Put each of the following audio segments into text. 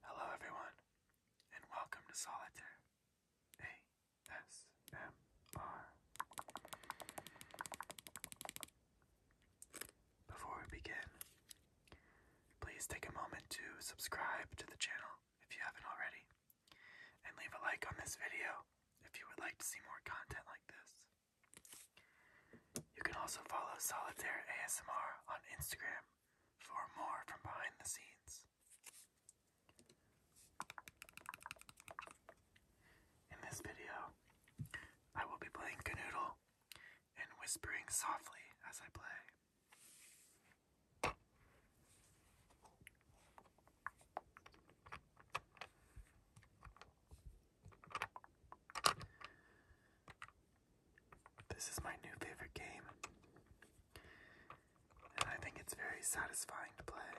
Hello, everyone, and welcome to Solitaire ASMR. Before we begin, please take a moment to subscribe to the channel if you haven't already, and leave a like on this video if you would like to see more content like this. You can also follow Solitaire ASMR on Instagram for more from behind the scenes. In this video, I will be playing Canoodle and whispering softly as I play. This is my new favorite game, and I think it's very satisfying to play.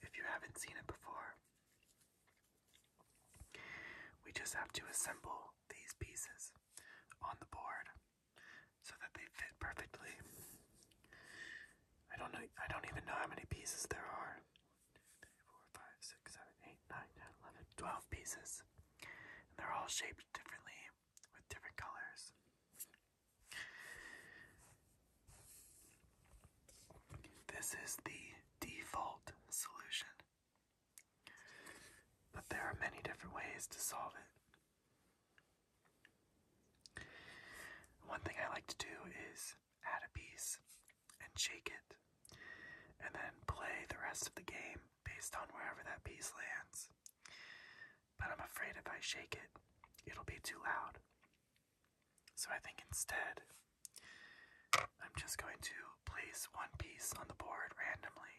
If you haven't seen it before, we just have to assemble these pieces on the board so that they fit perfectly. I don't know I don't even know how many pieces there are. 3, pieces. they're all shaped differently with different colors. This is the default solution. But there are many different ways to solve it. One thing I like to do is add a piece and shake it, and then play the rest of the game based on wherever that piece lands. But I'm afraid if I shake it, it'll be too loud. So I think instead, I'm just going to place one piece on the board randomly,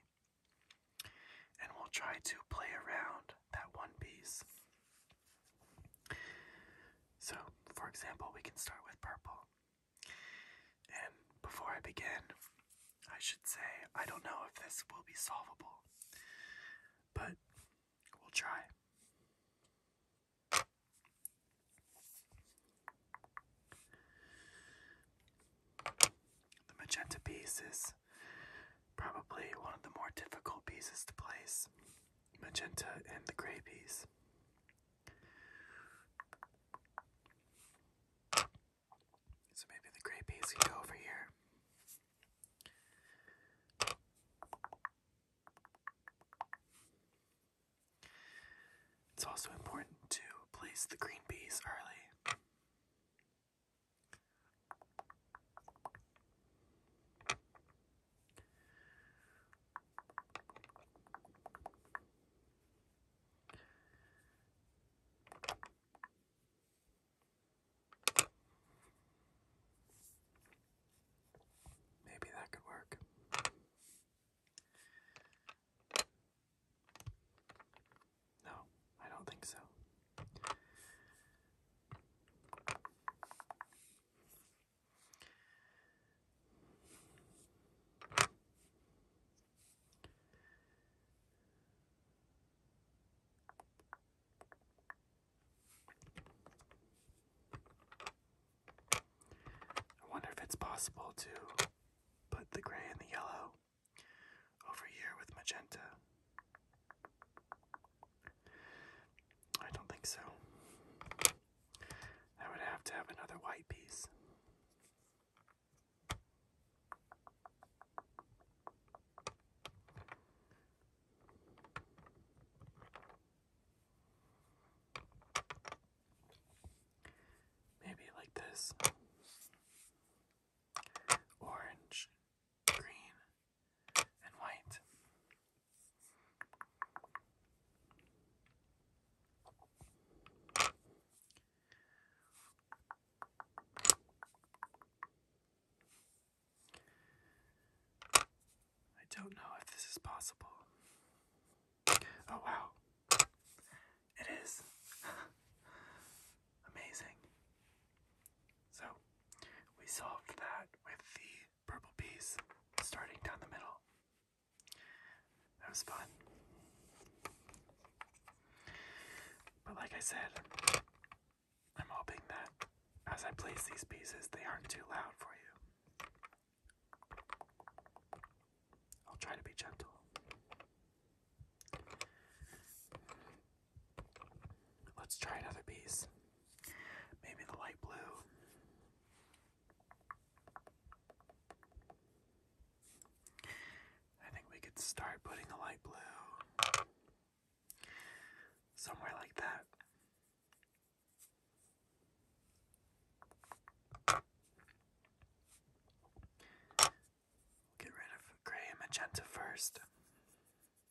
and we'll try to play around that one piece. So, for example, we can start with purple. And before I begin, I should say I don't know if this will be solvable, but we'll try. The magenta piece is probably one of the more difficult pieces to place magenta and the gray piece. So maybe the gray piece can go over here. It's also important to place the green piece early. Maybe that could work. No, I don't think so. I wonder if it's possible to put the gray and the yellow over here with magenta. I don't think so. I would have to have another white piece. Maybe like this orange, green, and white. I don't know if this is possible. Oh wow. It is amazing. So we solved that with the purple piece starting down the middle. That was fun. But like I said, I'm hoping that as I place these pieces, they aren't too loud for you. I'll try to be gentle. Let's try another piece. Maybe the light blue. I think we could start putting the light blue somewhere like that. get rid of gray and magenta first.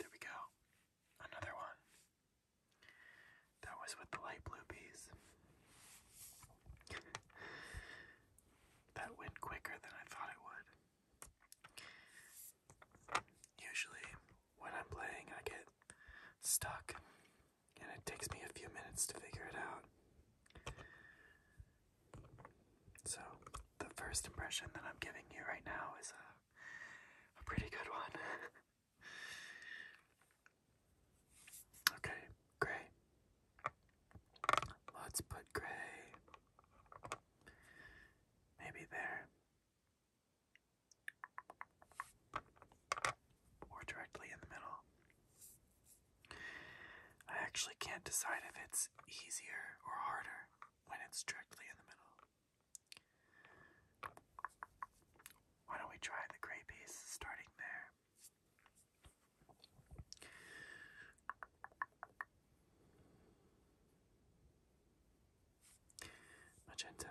There we go. Another one. That was with the light blue piece. that went quicker than I thought it would. Usually, when I'm playing, I get stuck, and it takes me a few minutes to figure it out. So, the first impression that I'm giving you right now is a, a pretty good one. okay, gray. Let's put gray maybe there. Or directly in the middle. I actually can't decide if it's easier or harder when it's directly in the middle. Why don't we try the gray piece starting there? Magenta.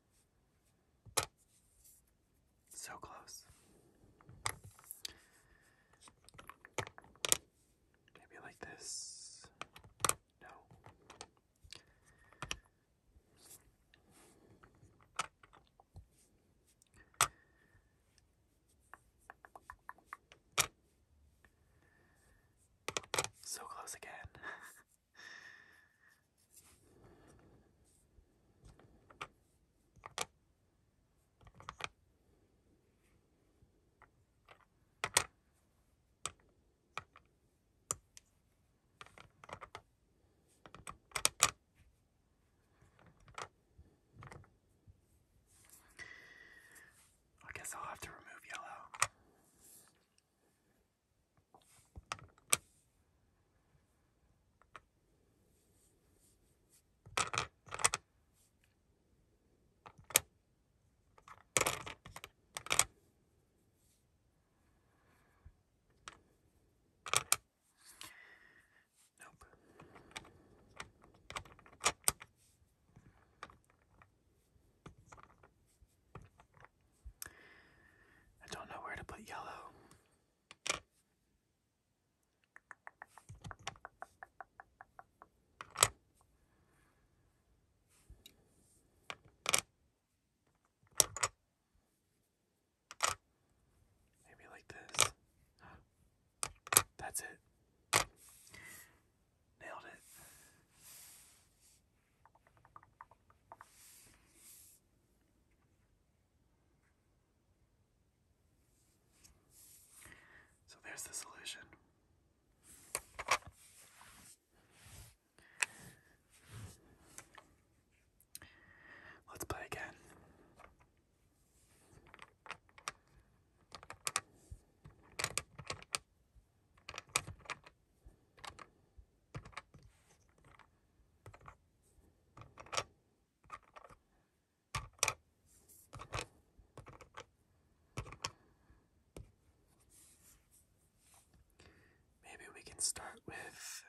So close. Maybe like this. No. So close again. I guess I'll have to remove yellow. Nope. I don't know where to put yellow. Maybe like this. That's it. Nailed it. So there's the solution. Let's play again. Maybe we can start with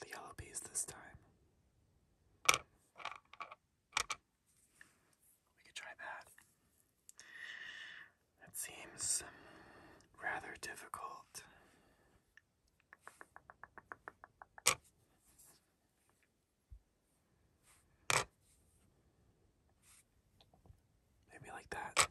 the yellow piece this time. We could try that. That seems rather difficult. Maybe like that.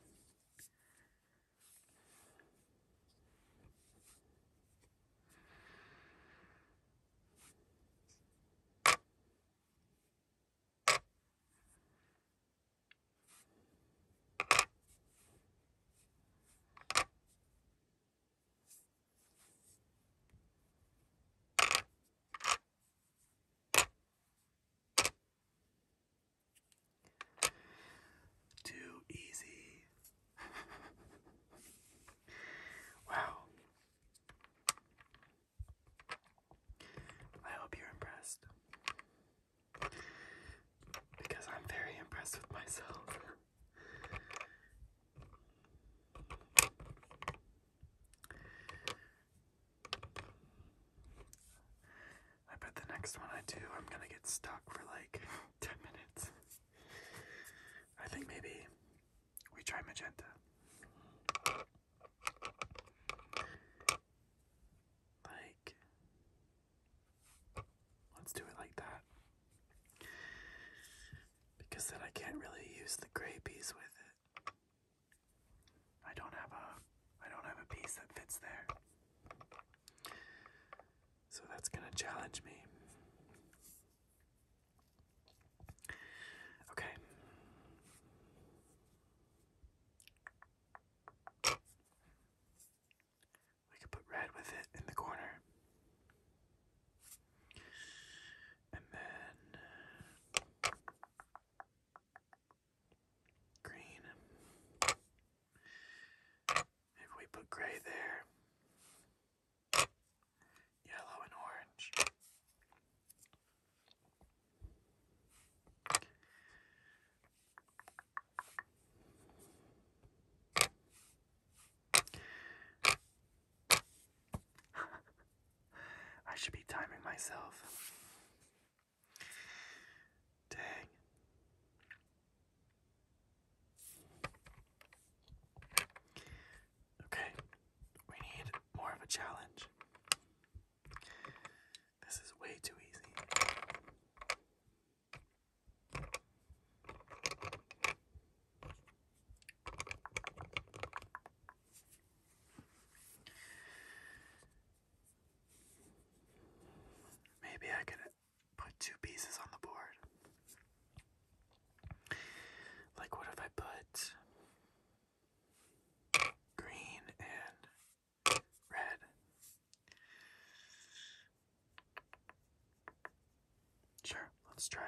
Too easy. wow. I hope you're impressed because I'm very impressed with myself. I bet the next one I do, I'm gonna get stuck for like 10 minutes. I think maybe we try magenta. Like, Let's do it like that. Because then I can't really use the gray piece with it. I don't have a I don't have a piece that fits there. So that's going to challenge me. Okay. We could put red with it in the corner. And then green. If we put gray there, yellow and orange. I should be timing myself. Dang. Okay, we need more of a challenge. This is way too easy. Maybe I could put two pieces on the board. Like, what if I put green and red? Sure, let's try it.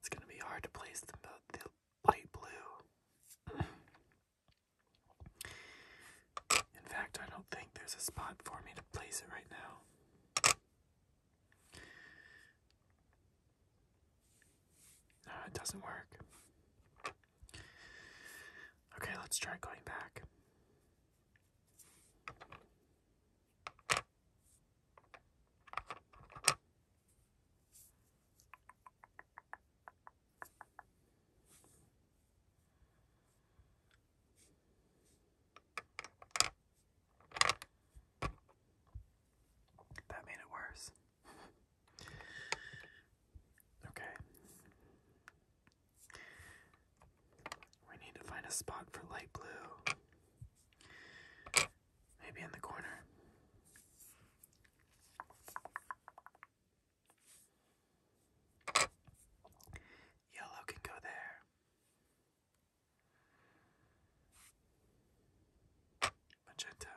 It's going to be hard to place the light blue. In fact, I don't think there's a spot for me to place it right now. No, it doesn't work. Okay, let's try going back. That made it worse. okay. We need to find a spot for light blue. Maybe in the corner. Yellow can go there. Magenta.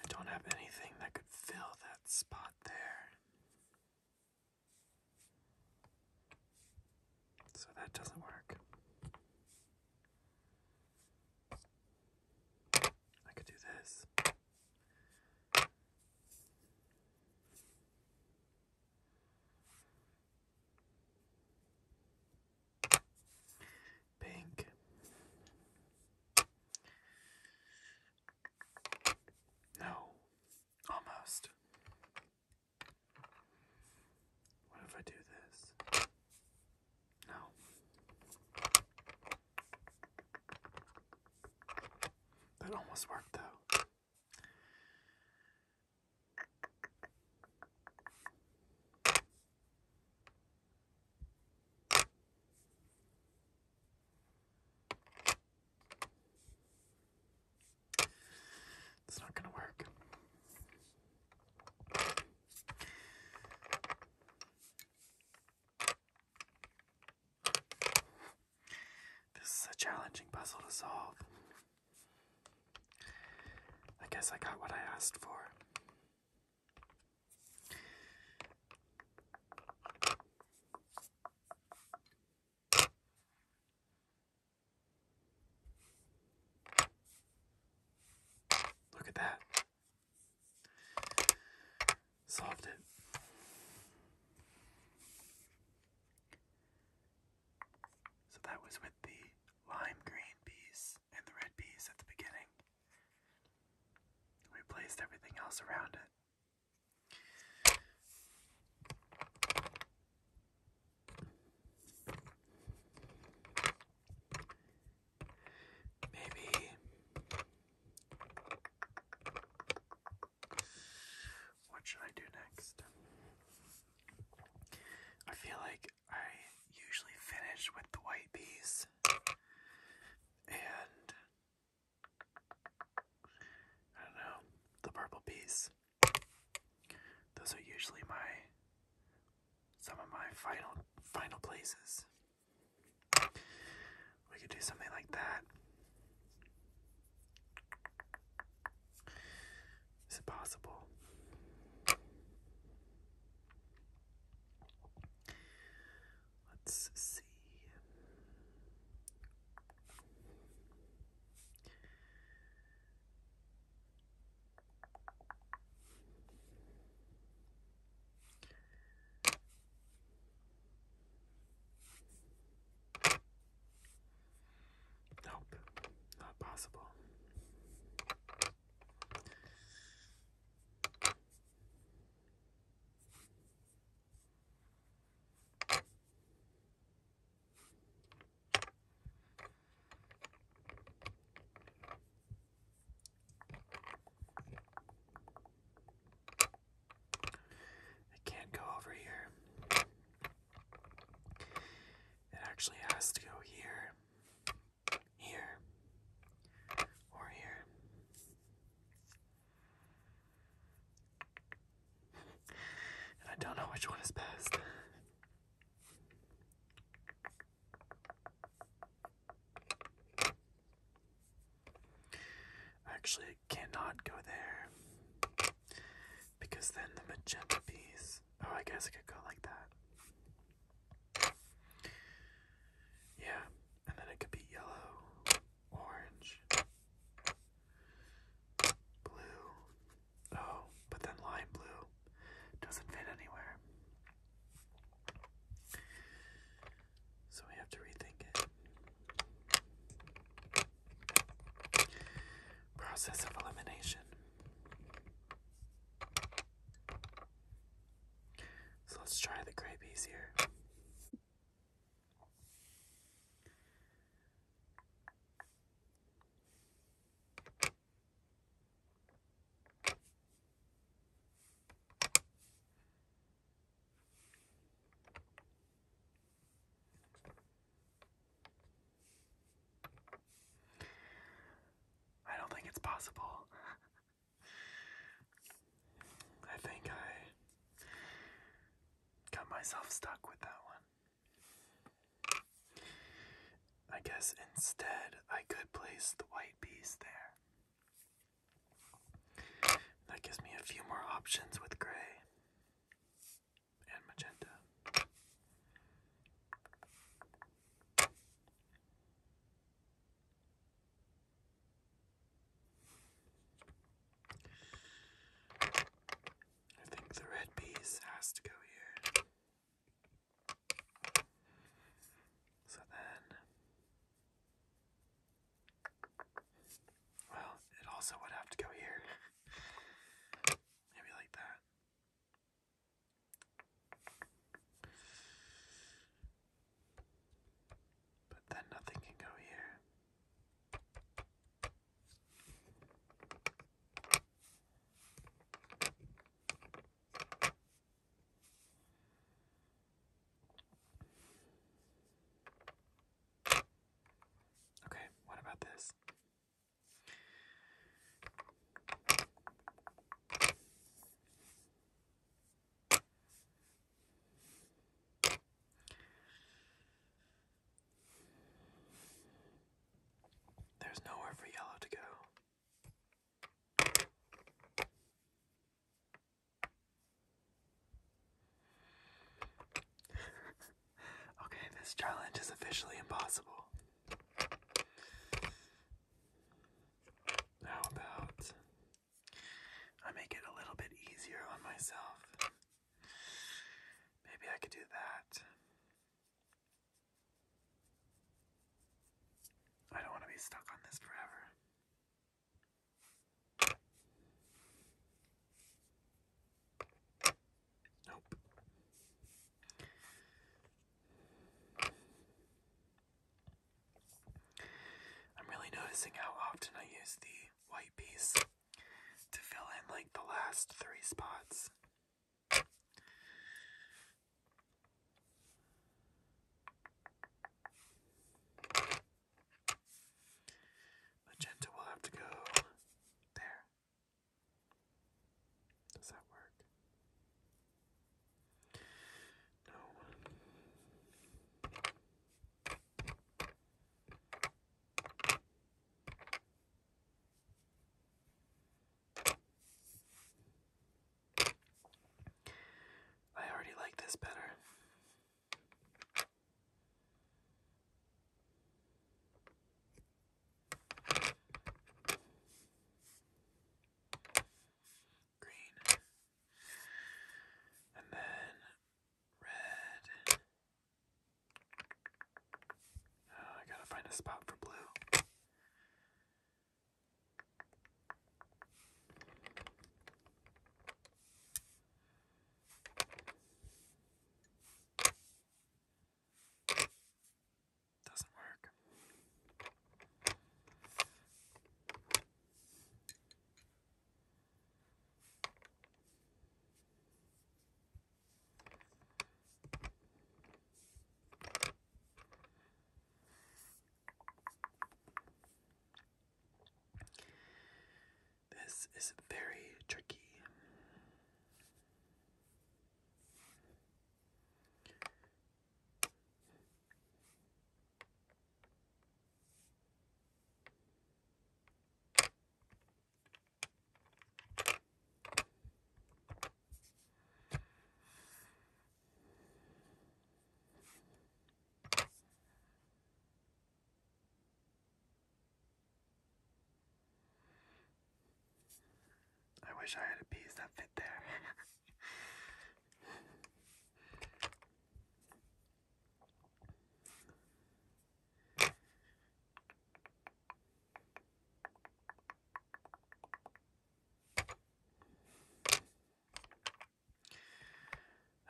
I don't have anything that could fill that spot there. So that doesn't work. I could do this. Pink. No, almost. What if I do this? No. That almost worked though. It's not going to work. This is a challenging puzzle to solve. I guess I got what I asked for. Look at that. Solved it. So that was with the lime green piece and the red piece at the beginning. We placed everything else around it. Maybe what should I do next? I feel like I usually finish with the white piece and I don't know, the purple piece. Those are usually my some of my final final places. We could do something like that is possible. Let's see. Nope, not possible. I can't go over here. It actually has to go here here, or here. And I don't know which one is best. Actually, I cannot go there because then the magenta piece. Oh, I guess I could go like that. Yeah, and then it could be yellow, orange, blue. Oh, but then lime blue doesn't fit anywhere. So we have to rethink it. Process of elimination. So let's try the gray piece here. I don't think it's possible. I think I got myself stuck with that one. I guess instead I could place the white piece there. That gives me a few more options with gray and magenta. I think the red piece has to go here. So then, well, it also would have to go here. Maybe like that. But then nothing can go here. Okay, what about this? There's nowhere for yellow to go. okay, this challenge is officially impossible. How about I make it a little bit easier on myself? Maybe I could do that. I don't want to be stuck on this forever. Nope. I'm really noticing how often I use the white piece to fill in like the last three spots. Magenta will have to go there. Does that work? No. I already like this better green, and then red. Uh, I gotta find a spot for blue. Doesn't work. This is very tricky. I wish I had a piece that fit there.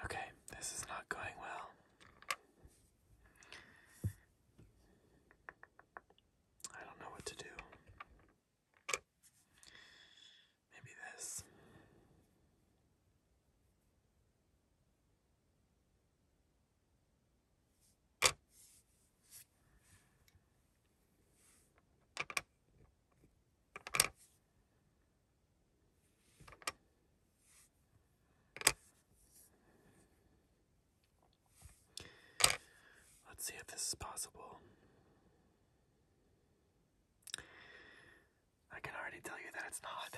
Okay, this is not going well. I don't know what to do. Maybe this. Let's see if this is possible. I can already tell you that it's not.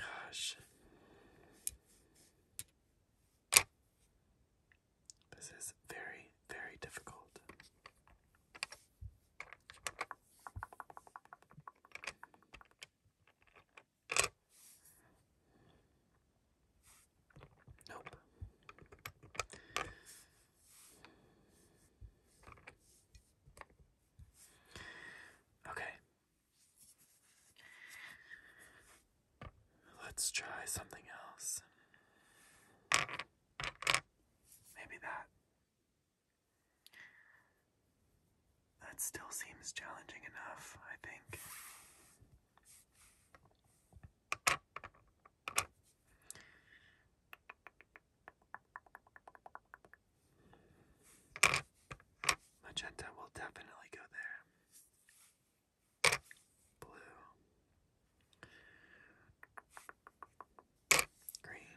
Gosh. This is very, very difficult. Nope. Okay. Let's try something else. Maybe that. That still seems challenging enough, I think. Magenta will definitely go there. Blue. Green.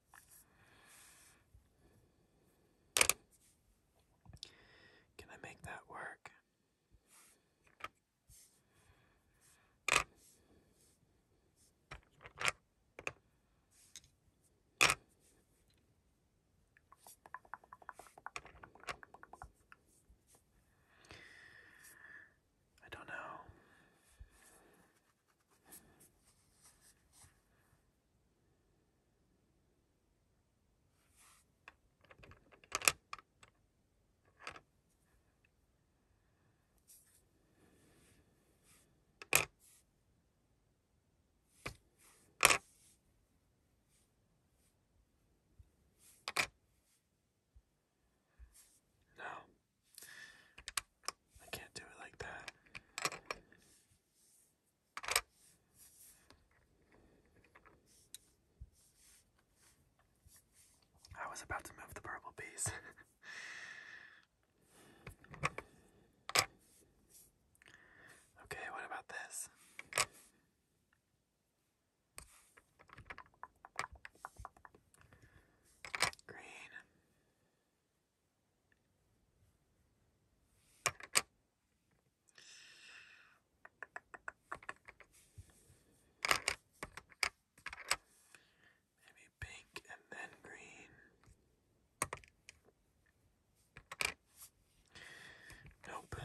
Can I make that work? I don't know. No, I can't do it like that. I was about to move the purple bees. okay, what about this? Green. Maybe pink and then green. Nope.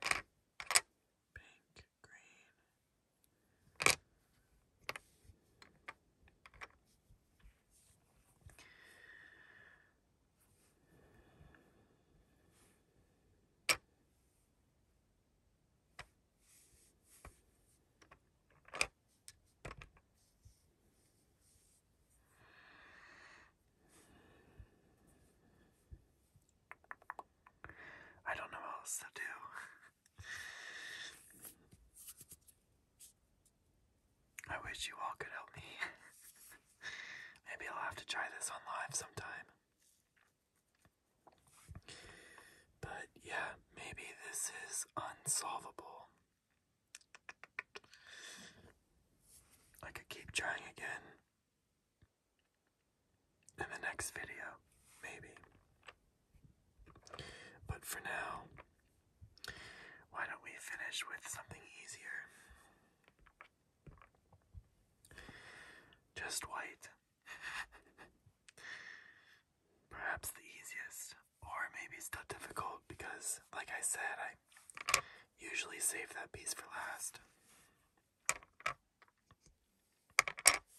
Pink, green, I don't know what else to do. I wish you all could help me. Maybe I'll have to try this on live sometime. But yeah, maybe this is unsolvable. I could keep trying again in the next video, maybe. But for now, why don't we finish with something easier? Just white. Perhaps the easiest, or maybe still difficult because, like I said, I usually save that piece for last.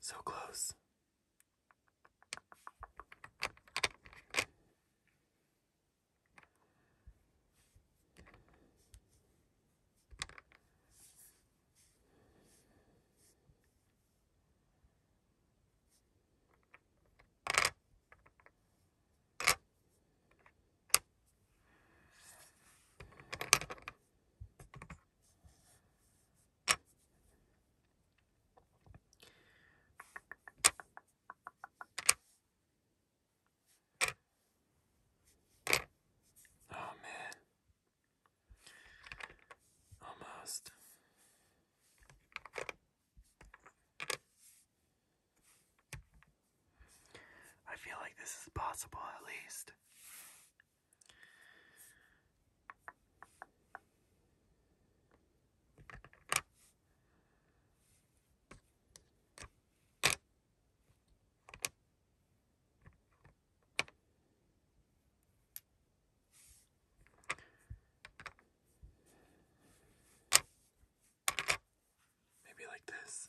So close. Oh, man, almost. I feel like this is possible at least. Maybe like this.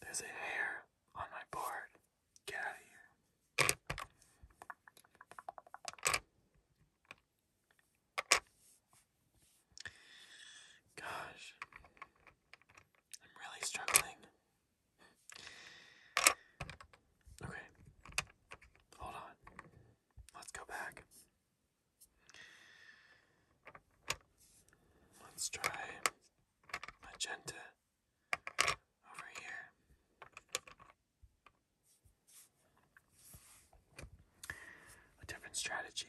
There's a hair on my board. Get out of here. Gosh, I'm really struggling Okay. Hold on. Let's go back. Let's try magenta over here. A different strategy.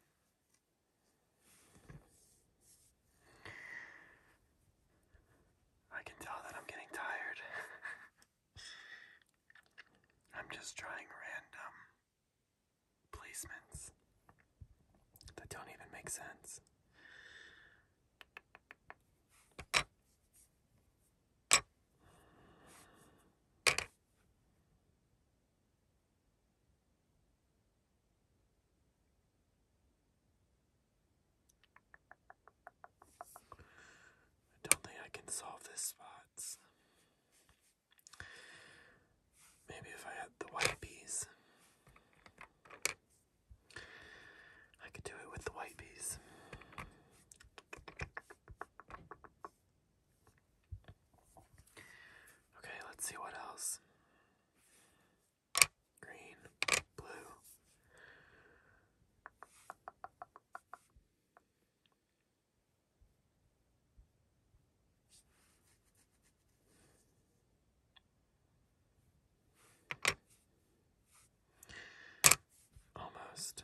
I can tell that I'm getting tired. I'm just trying random placements that don't even make sense. I don't think I can solve this spots. Maybe if I had the white bees. I could do it with the white bees. Okay, let's see what else. Green, blue. Almost.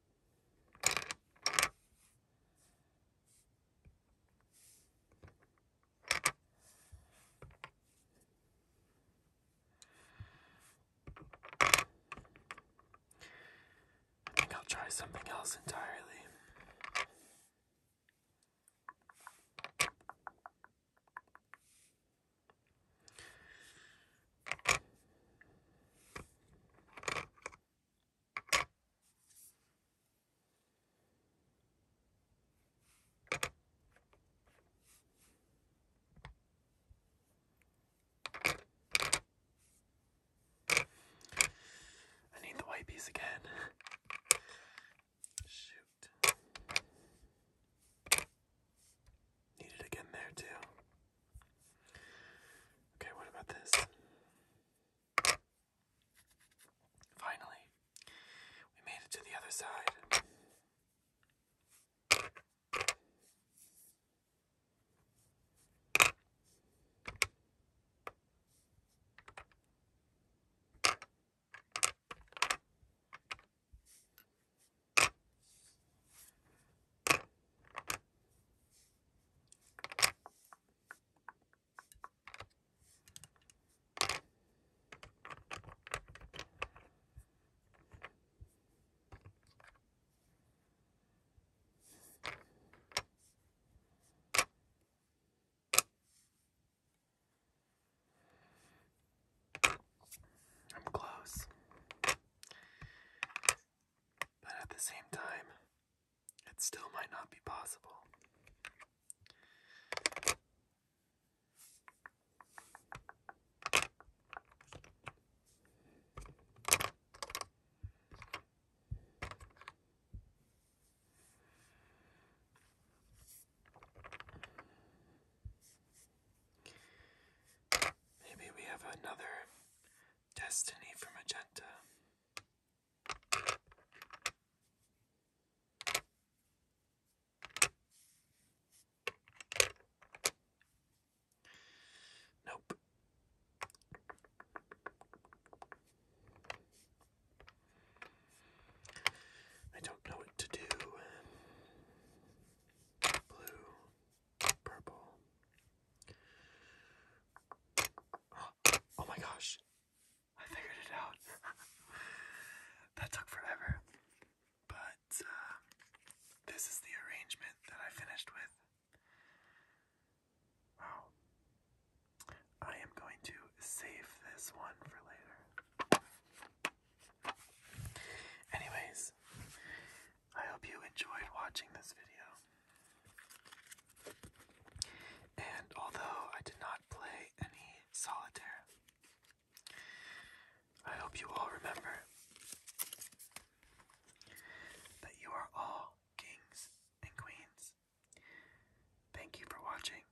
I think I'll try something else entirely. I need the white piece again. Shoot. Need it again there too. Okay, what about this? Finally, we made it to the other side. I'm close. But at the same time, it still might not be possible. Maybe we have another Destiny for Magenta. Nope. I don't know what to do. Blue. Purple. Oh my gosh. I figured it out. that took forever. But uh, this is the arrangement that I finished with. Wow. I am going to save this one for later. Anyways, I hope you enjoyed watching this video. And although I did not play any solitaire, I hope you all remember that you are all kings and queens. Thank you for watching,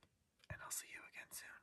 and I'll see you again soon.